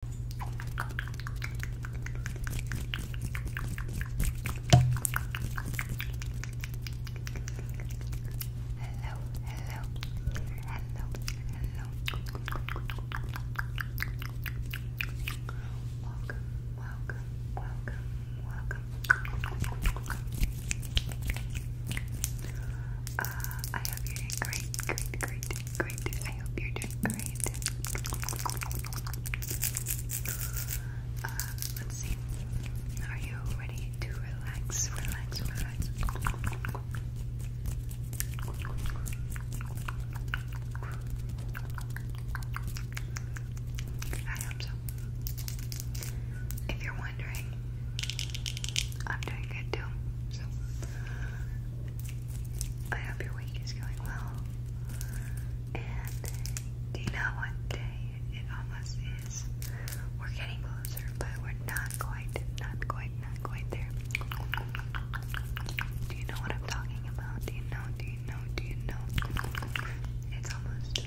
Hello, hello, hello, hello. Welcome, welcome, welcome, welcome. Uh, I hope you great, great, great, Great. I hope you're doing great. Uh, let's see. Are you ready to relax? Relax, relax. I hope so. If you're wondering, I'm doing good too. I hope your week is going well. And do you know what day it almost is? We're getting closer, but we're not quite, not quite, not quite there. Do you know what I'm talking about? Do you know? Do you know? Do you know? It's almost.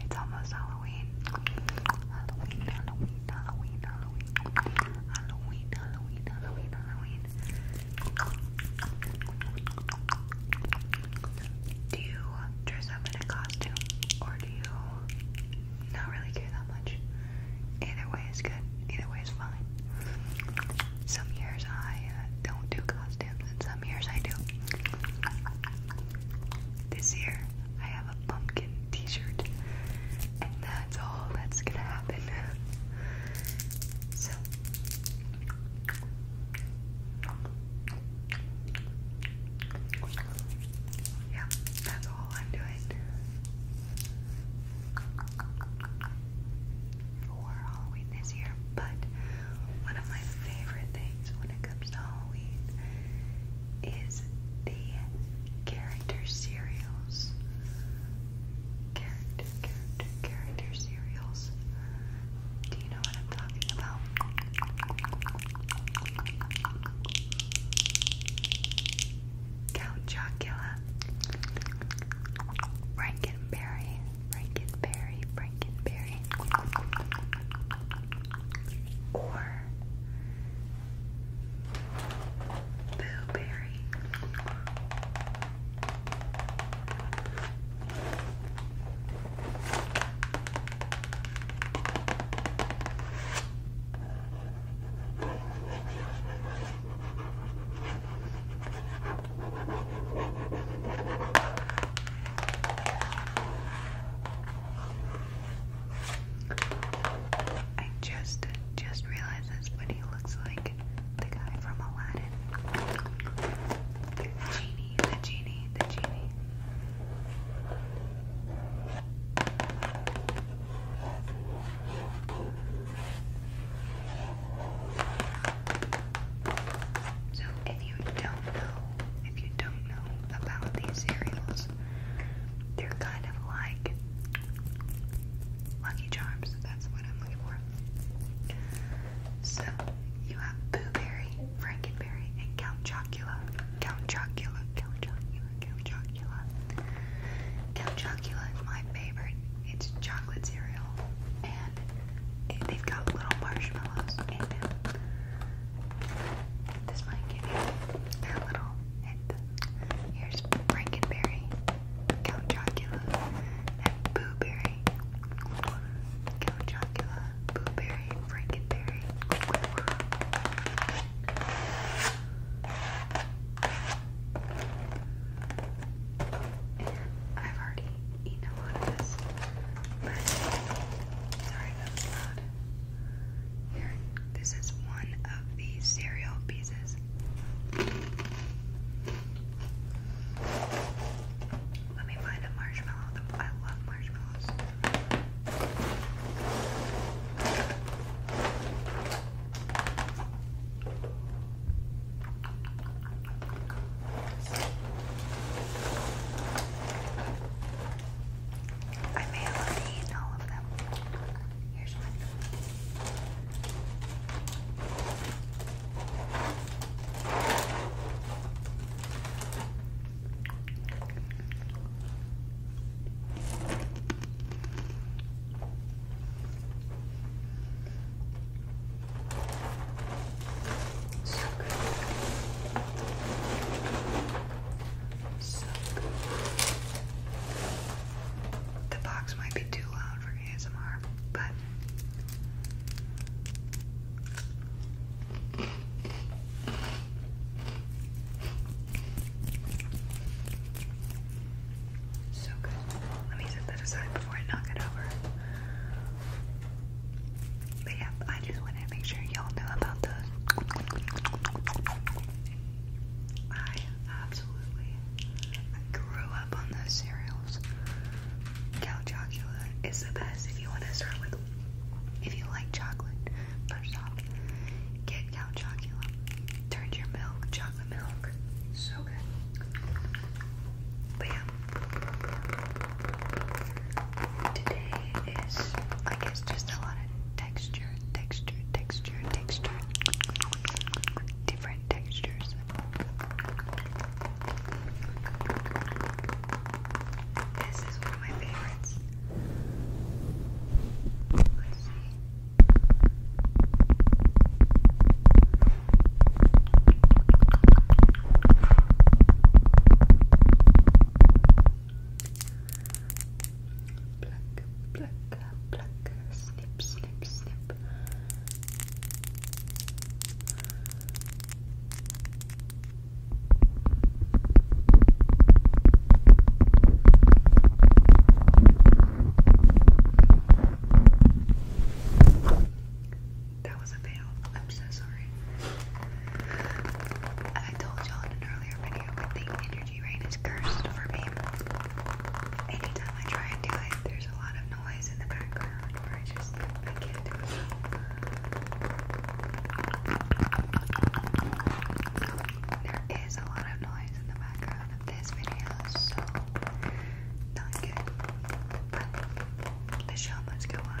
It's almost Halloween. Halloween, Halloween, Halloween, Halloween, Halloween, Halloween, Halloween, Halloween. Do you dress up in a costume or do you not really care that much? Either way is good. Either way is fine. Some years I uh, don't do costumes and some years I do. This year I have pumpkin t-shirt. And that's all that's gonna happen. So yeah, that's all I'm doing for Halloween this year. But one of my favorite things when it comes to Halloween is the character cereals. Character, character, character cereals. Do you know what I'm talking about? Cow Chocula. Frankenberry, Frankenberry, Frankenberry. Or Boo Berry. I just just realized this, but he looks like the guy from Aladdin. The genie, the genie, the genie. So if you don't know, if you don't know about these cereals, they're kind of like Lucky Charms, that's what I'm looking for. So, you have Boo Berry, Frankenberry, and Count Chocula. Count Chocula, Count Chocula, Count Chocula. Count Chocula is my favorite. It's chocolate cereal, and it, they've got little marshmallows in them. This might give you their little Here's Frankenberry, Count Chocula, and Berry. Count Chocula, Booberry, Frankenberry. I've already eaten a lot of this, but sorry that was loud. Here, this is one of the cereal pieces. Let me find a marshmallow. I love marshmallows. I may have eaten all of them. Here's one. So good. So the box might be too loud for ASMR, but so good. Let me set that aside before I knock it over. But yeah, I just wanted to make sure y'all know about the I absolutely grew up on those cereals. Cow is the best if you want to start with, if you like chocolate, first off, get Cow Chocula. Turns your milk, chocolate milk. So good. But yeah, today is, I guess, just a lot of texture, texture, texture, Different textures. This is one of my favorites. Let's see. Pluck, pluck, pluck, snip, snip, snip. That was a fail. I'm so sorry. I told y'all in an earlier video, I think energy rain is cursed for me. Anytime I try and do it, there's a lot of noise in the background I just I can't do it. There is a lot of noise in the background of this video, so not good. But the show must go on.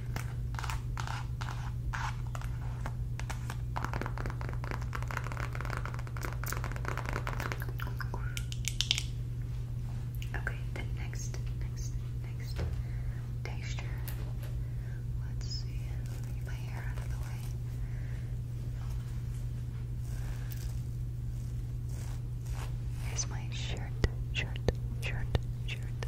Okay, the next, next, next texture. Let's see. Let me get my hair out of the way. Here's my shirt, shirt, shirt, shirt.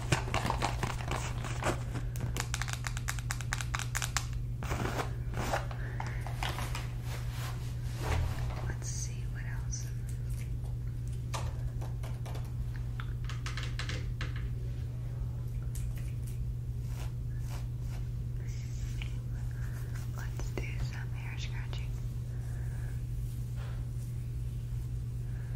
Let's see what else. Let's do some hair scratching.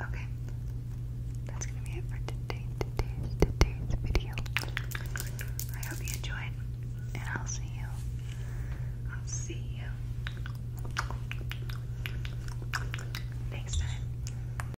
Okay, that's gonna be it for today's video. I hope you enjoyed, and I'll see you. I'll see you next time.